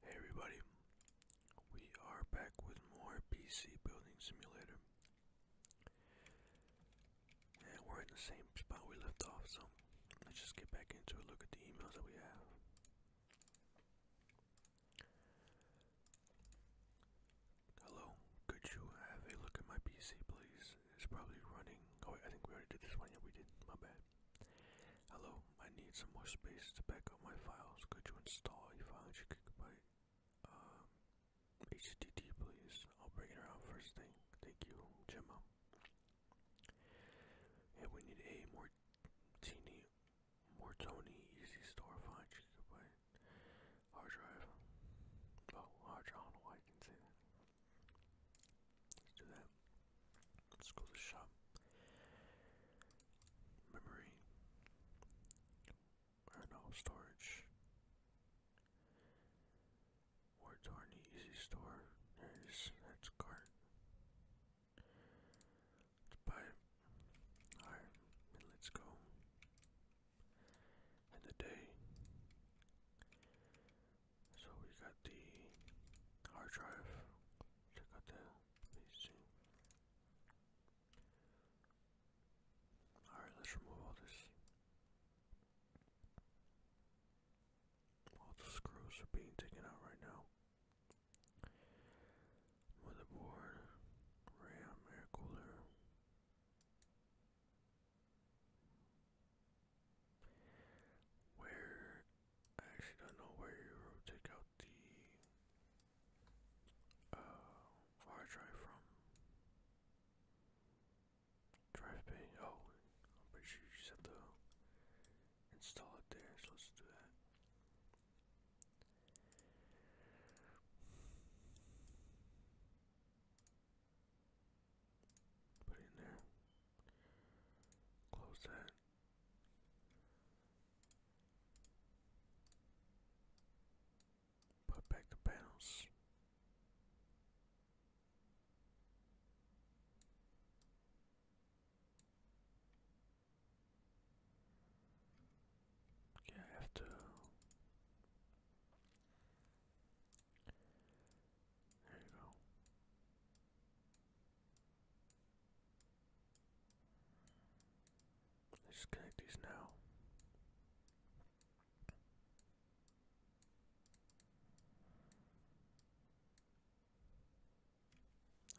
Hey everybody, we are back with more PC Building Simulator. And we're in the same spot we left off, so let's just get back into it, look at the emails that we have. Hello, could you have a look at my PC please? It's probably running, oh I think we already did this one, yeah we did, my bad. Hello, I need some more space to back up my files. Could you install a 500 gigabyte um, HDD, please? I'll bring it around first thing. Thank you, Gemma. And we need a more teeny, more Tony Easy Store 500 gigabyte hard drive. Oh, hard drive. I don't know why I can say that. Let's do that. Let's go to the shop. Memory. Or no, storage. War Torney Easy Store. There That's cart. Let's buy Alright, let's go. And the So we got the hard drive. Look at that. Amazing. Alright, let's All the screws are being taken out right now. Motherboard, RAM, air cooler. Where I actually don't know where you take out the uh, hard drive from. Drive bay. Oh, I'm pretty sure you just have to install it there. So let's do that. Put it in there. Close that. Put back the panels. Yeah, I have to. There you go. Let's connect these now.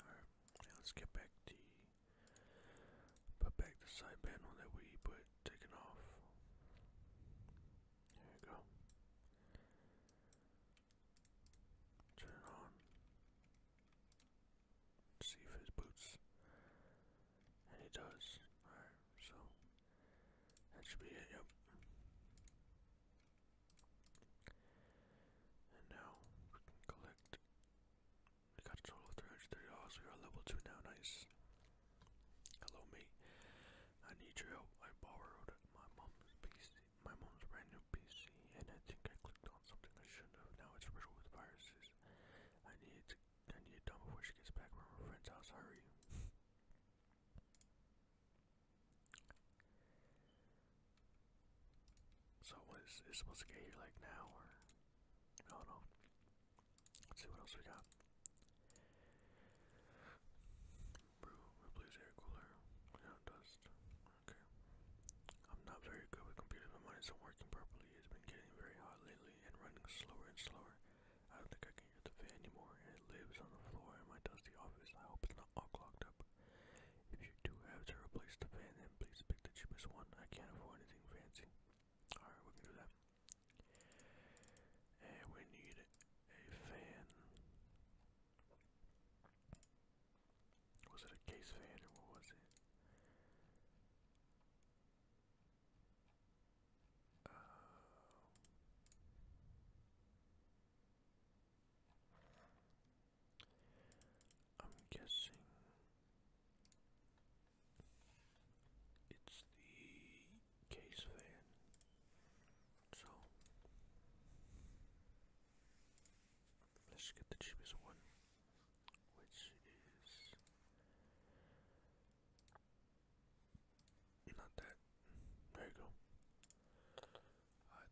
Alright, let's get back the put back the side panel that we put taken off. There we go. Turn on. see if his boots. And he does. Alright, so that should be it, yep. And now we can collect. We got a total of $330. We are level 2 now, nice. Hello, mate. I need your help. I borrowed my mom's PC my mom's brand new PC, and I think I clicked on something I shouldn't have. Now it's riddled with viruses. I need to, I it done before she gets back from her friend's house. Hurry. So what is it supposed to get here like now or I do Let's see what else we got. replace air cooler, clean dust, Okay. I'm not very good with computers. My mind isn't working properly. It's been getting very hot lately and running slower and slower. I don't think I can use the fan anymore, it lives on the floor in my dusty office. I hope it's not all clogged up. If you do have to replace the fan, then please pick the cheapest one. I can't afford anything fancy. Alright, we can do that. And we need a fan. Was it a case fan or what was it? Um, I'm guessing it's the case fan. So Let's get the cheapest one, which is not that. There you go. I like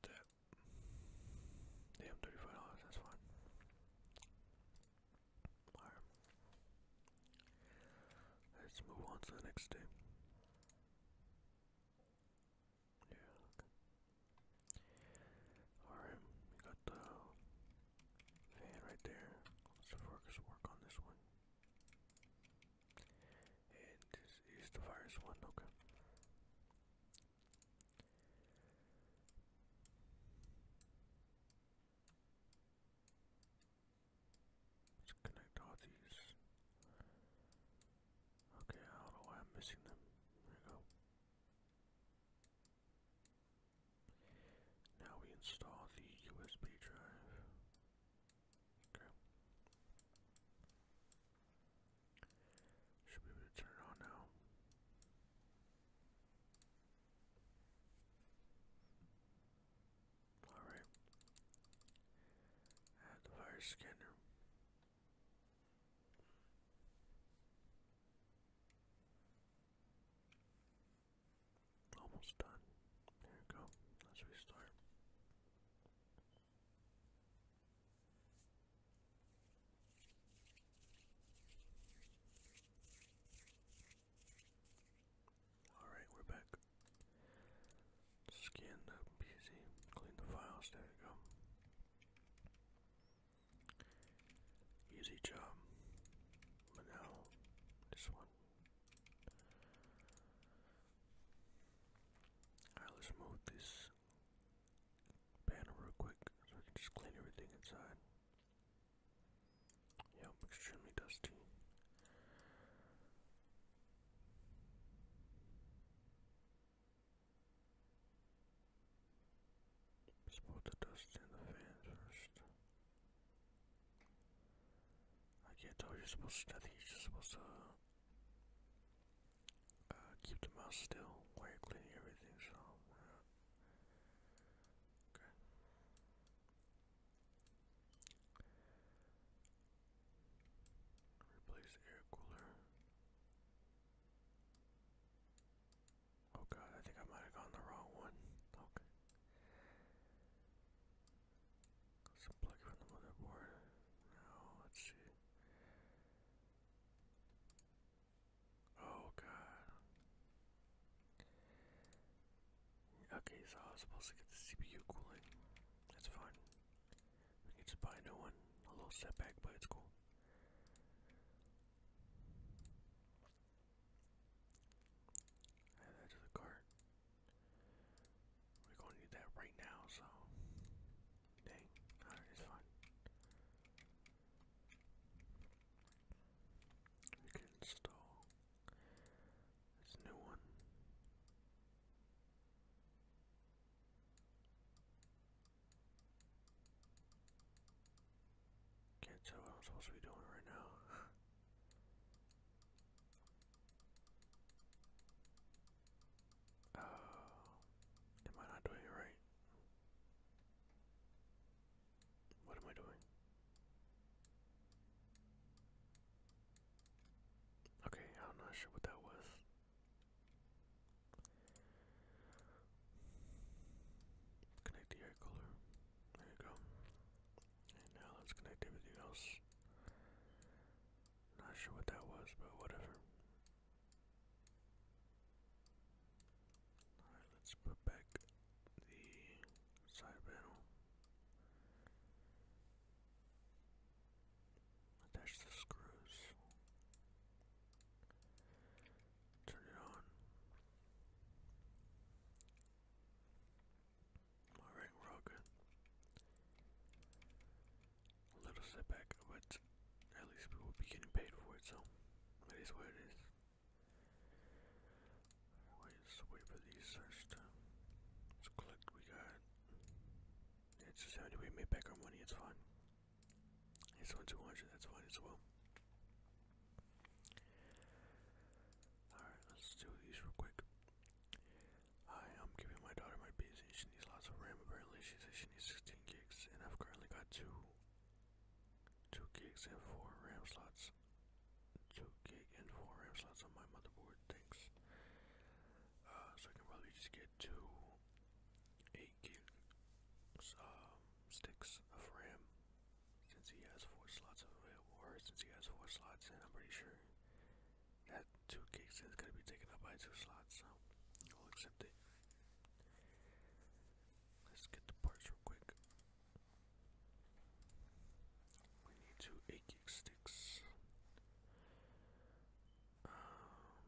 Damn, thirty-five dollars. That's fine. Alright. Let's move on to the next day. Yeah, okay. Alright, we got the fan right there. Let's focus work on this one. And this is the virus one, okay. Let's connect all these. Okay, I don't know why I'm missing them. There we go. Now we install the USB drive. Okay. Should be able to turn it on now. Alright. Add the virus scanner. Almost done. There we go. Let's restart. Alright, we're back. Scan the PC, clean the files, there we go. Easy job. But now, this one. Alright, let's move this banner real quick so we can just clean everything inside. Yep, extremely dusty. Let's put the dust in the fan first. I can't tell you supposed to, I think just supposed to uh, keep the mouse still while you're cleaning everything, so Okay. Replace air cooler. Oh god, I think I might have gone the wrong one. Okay. Some plug from the motherboard. Now, let's see. Oh god. Okay, so I was supposed to get the CPU cooling. That's fine. We can just buy a new one. A little setback, but it's cool. Add that to the cart. We're going to need that right now, so. Dang. it's fine. You can install this new one. Can't tell what I'm supposed to be doing right now. Oh, am I not doing it right? What am I doing? Okay, I'm not sure what that was. Connect the air cooler. There you go. And now let's connect everything else. Not sure what that was, but whatever. Alright, let's put back the side panel. Attach the screws. Turn it on. Alright, we're little setback, but at least we will be getting paid for it, so it is what it is. Wait, wait for these search let's click we got it's just how do we make back our money, it's fine. It's on 200, that's fine as well. Alright, let's do these real quick. I am giving my daughter my PC. She needs lots of RAM. Apparently, she says she needs 16 gigs, and I've currently got two, two gigs and four RAM slots. Two gig and four RAM slots on my motherboard. Thanks. Uh, so I can probably just get two 8 really sticks of RAM since he has four slots available, or since he has four slots in, I'm pretty sure that two gigs is going to be taken up by two slots, so I'll accept it. Let's get the parts real quick. We need two 8 gig sticks. Um,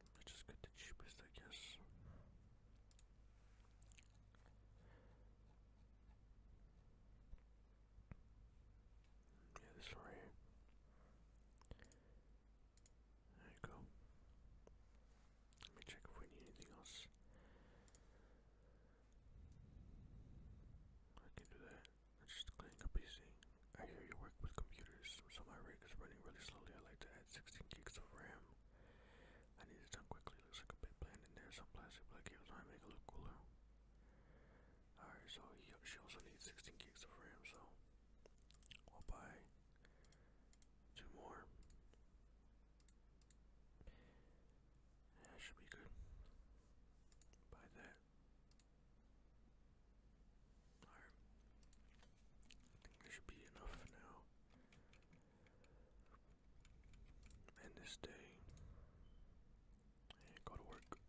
let just get the cheapest, I guess. Yeah, this one here. There you go. Let me check if we need anything else. I can do that. Let's just clean up PC. I hear you work with computers, so my rig is running really slowly. I like that. 16 gigs of RAM. I needed some quickly. Looks like a big plan in there. Some plastic black cables might make it look cooler. Alright, so she also needs 16 gigs of RAM, so I'll buy two more. That should be good. Buy that. Alright. I think there should be enough for now. End this day. And go to work.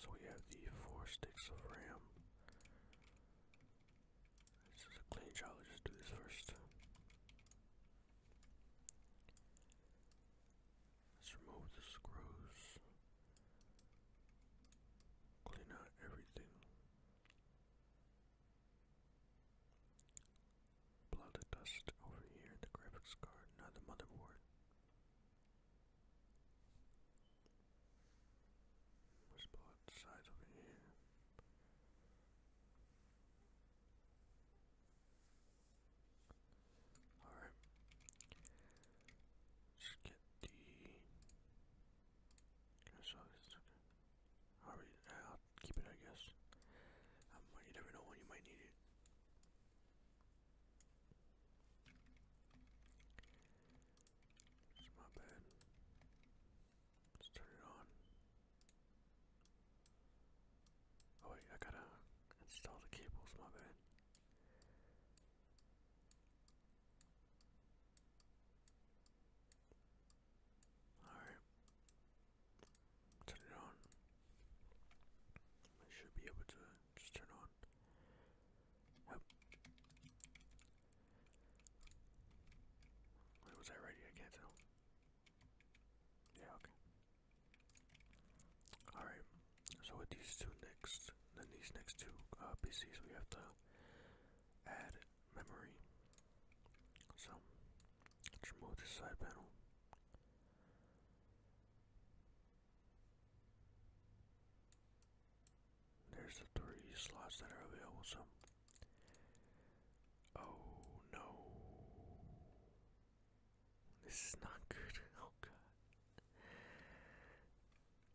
So we have the four sticks of RAM. This is a clean job, just do this first. Let's remove the screws. Clean out everything. Blow the dust over here, the graphics card, not the motherboard. Let's the sides over here. Alright. let get the can I Okay. I'll keep it, I guess. Um, you never know when you might need it. It's my bad. Let's turn it on. Oh wait, I gotta install the cables, my bad. Alright. Turn it on. I should be able to just turn on. Yep. was I ready? I can't tell. Yeah, okay. Alright, so with these two next, then these next two uh, PCs, we have to add memory. So let's remove this side panel. There's the three slots that are available, so oh no. This is not good. Oh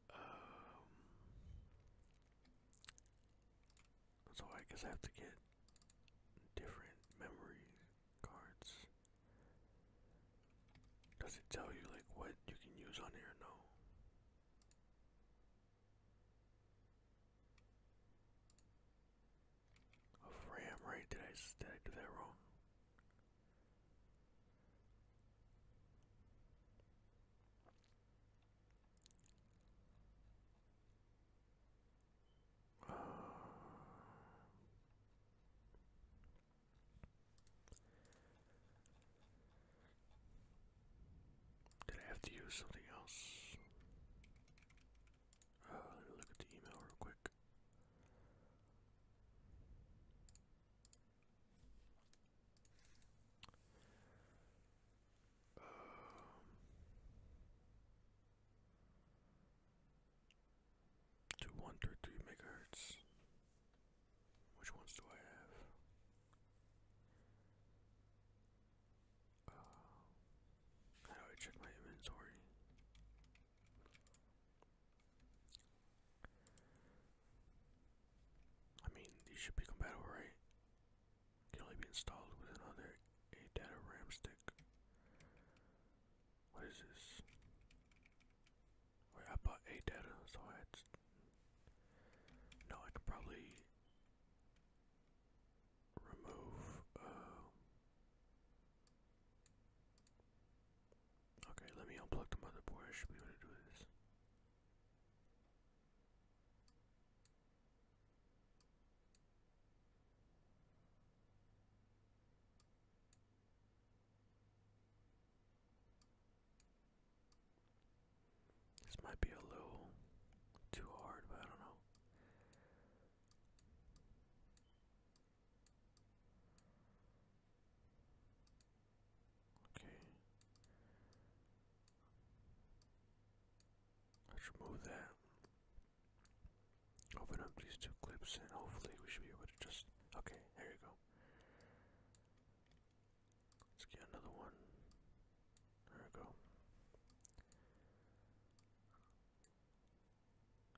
god. Um, so I guess I have to get different memory cards. Does it tell you like what you can use on here? No. Of RAM, right? Did I did I do that wrong? Uh, did I have to use something else? Uh, look at the email real quick. Um, to one megahertz. Which ones do I have? Uh, how do I check my inventory? I mean, these should be compatible, right? Can only be installed with another 8 data RAM stick. What is this? Wait, I bought 8 so I had. I could probably remove. Uh, okay, let me unplug the motherboard. I should be able to do this. This might be a little too hard, but I don't know. Okay. Let's remove that. Open up these two clips and hopefully we should be able to just okay, there you go. Let's get another one. There we go.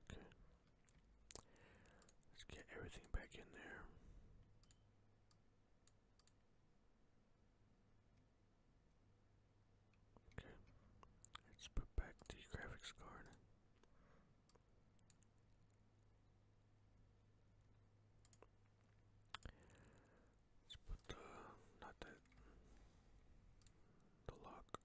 Okay. Let's get everything back in there. Okay, let's put back the graphics card. Let's put the not that the lock.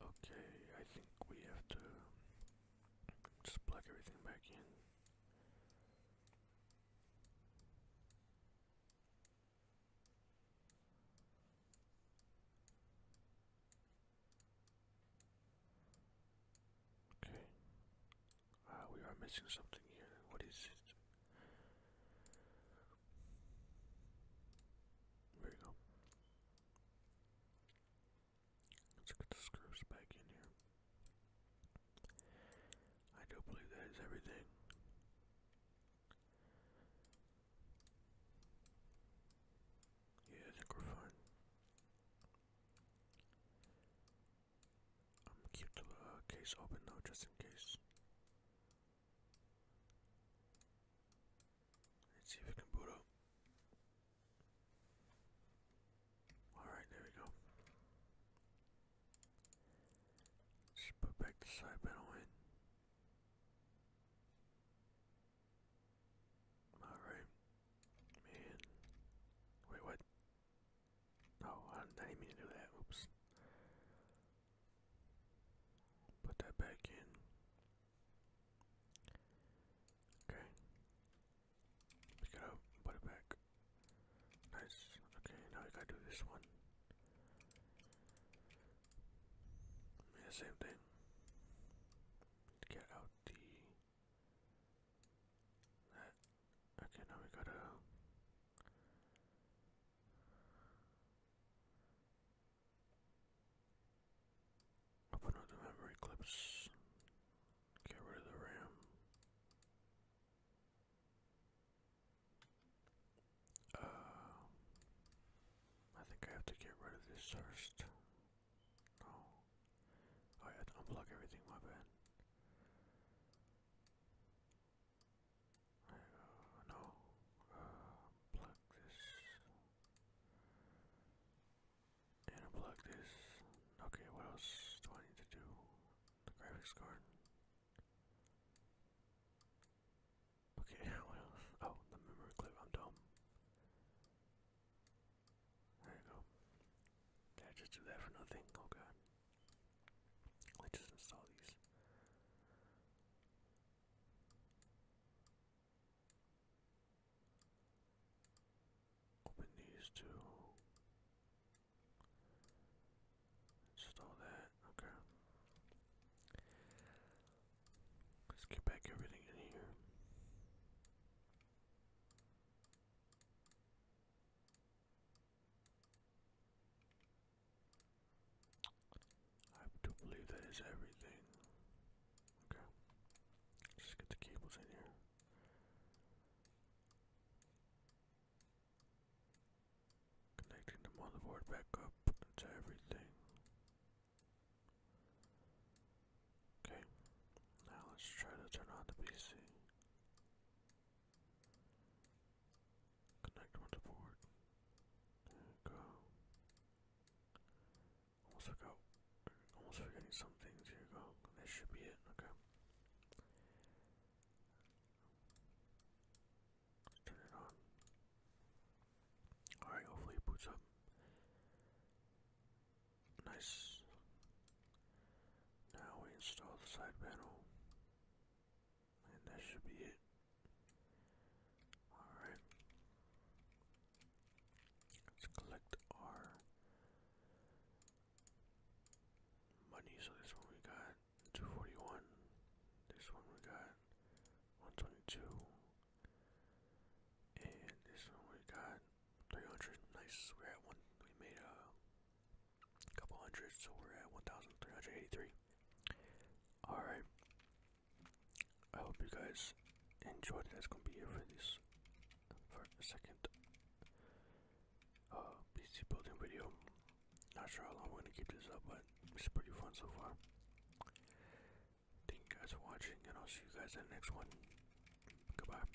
Okay, I think we have to just plug everything back in. Okay. Uh, we are missing something here. What is it? There you go. Let's get the screws back in here. I do believe that is everything. Yeah, I think we're fine. I'm keep the uh, case open though, just in case. Let's see if it can boot up. Alright, there we go. let put back the side panel in. Alright. Man. Wait, what? Oh, I didn't mean to do that. Oops. Put that back in. Okay. Pick it up, put it back. Nice. Okay, now we gotta do this one. same thing. Get out the that. Okay, now we gotta Open up the memory clips. Get rid of the RAM. Uh, I think I have to get rid of this first. No. Oh, I have to unplug everything, my bad no, uh, this, and this. Okay, what else do I need to do? The graphics card. Okay, what else? Oh, the memory I'm dumb. There you go. Did I just do for nothing? Oh let just install these. Open these two. Install that. Okay. Let's get back everything in here. I do believe that is everything. Okay. Just get the cables in here. Connecting the motherboard back up to everything. Okay. Now let's try to turn on the PC. Connect one to board. There we go. Almost forgot. Almost forgetting some Here we go. This should be it. Okay. turn it on. Alright, hopefully it boots up. Nice. Now we install the side panel. And that should be it. Alright. Let's collect our money. So this one we got 241. This one we got 122. And this one we got 300. Nice. we one. We made a a couple hundred, so we're at 1,383. Alright. I hope you guys enjoyed. That's gonna be it for this for second uh, PC building video. Not sure how long we're gonna keep this up, but it's pretty fun so far. Thank you guys for watching and I'll see you guys in the next one. Goodbye.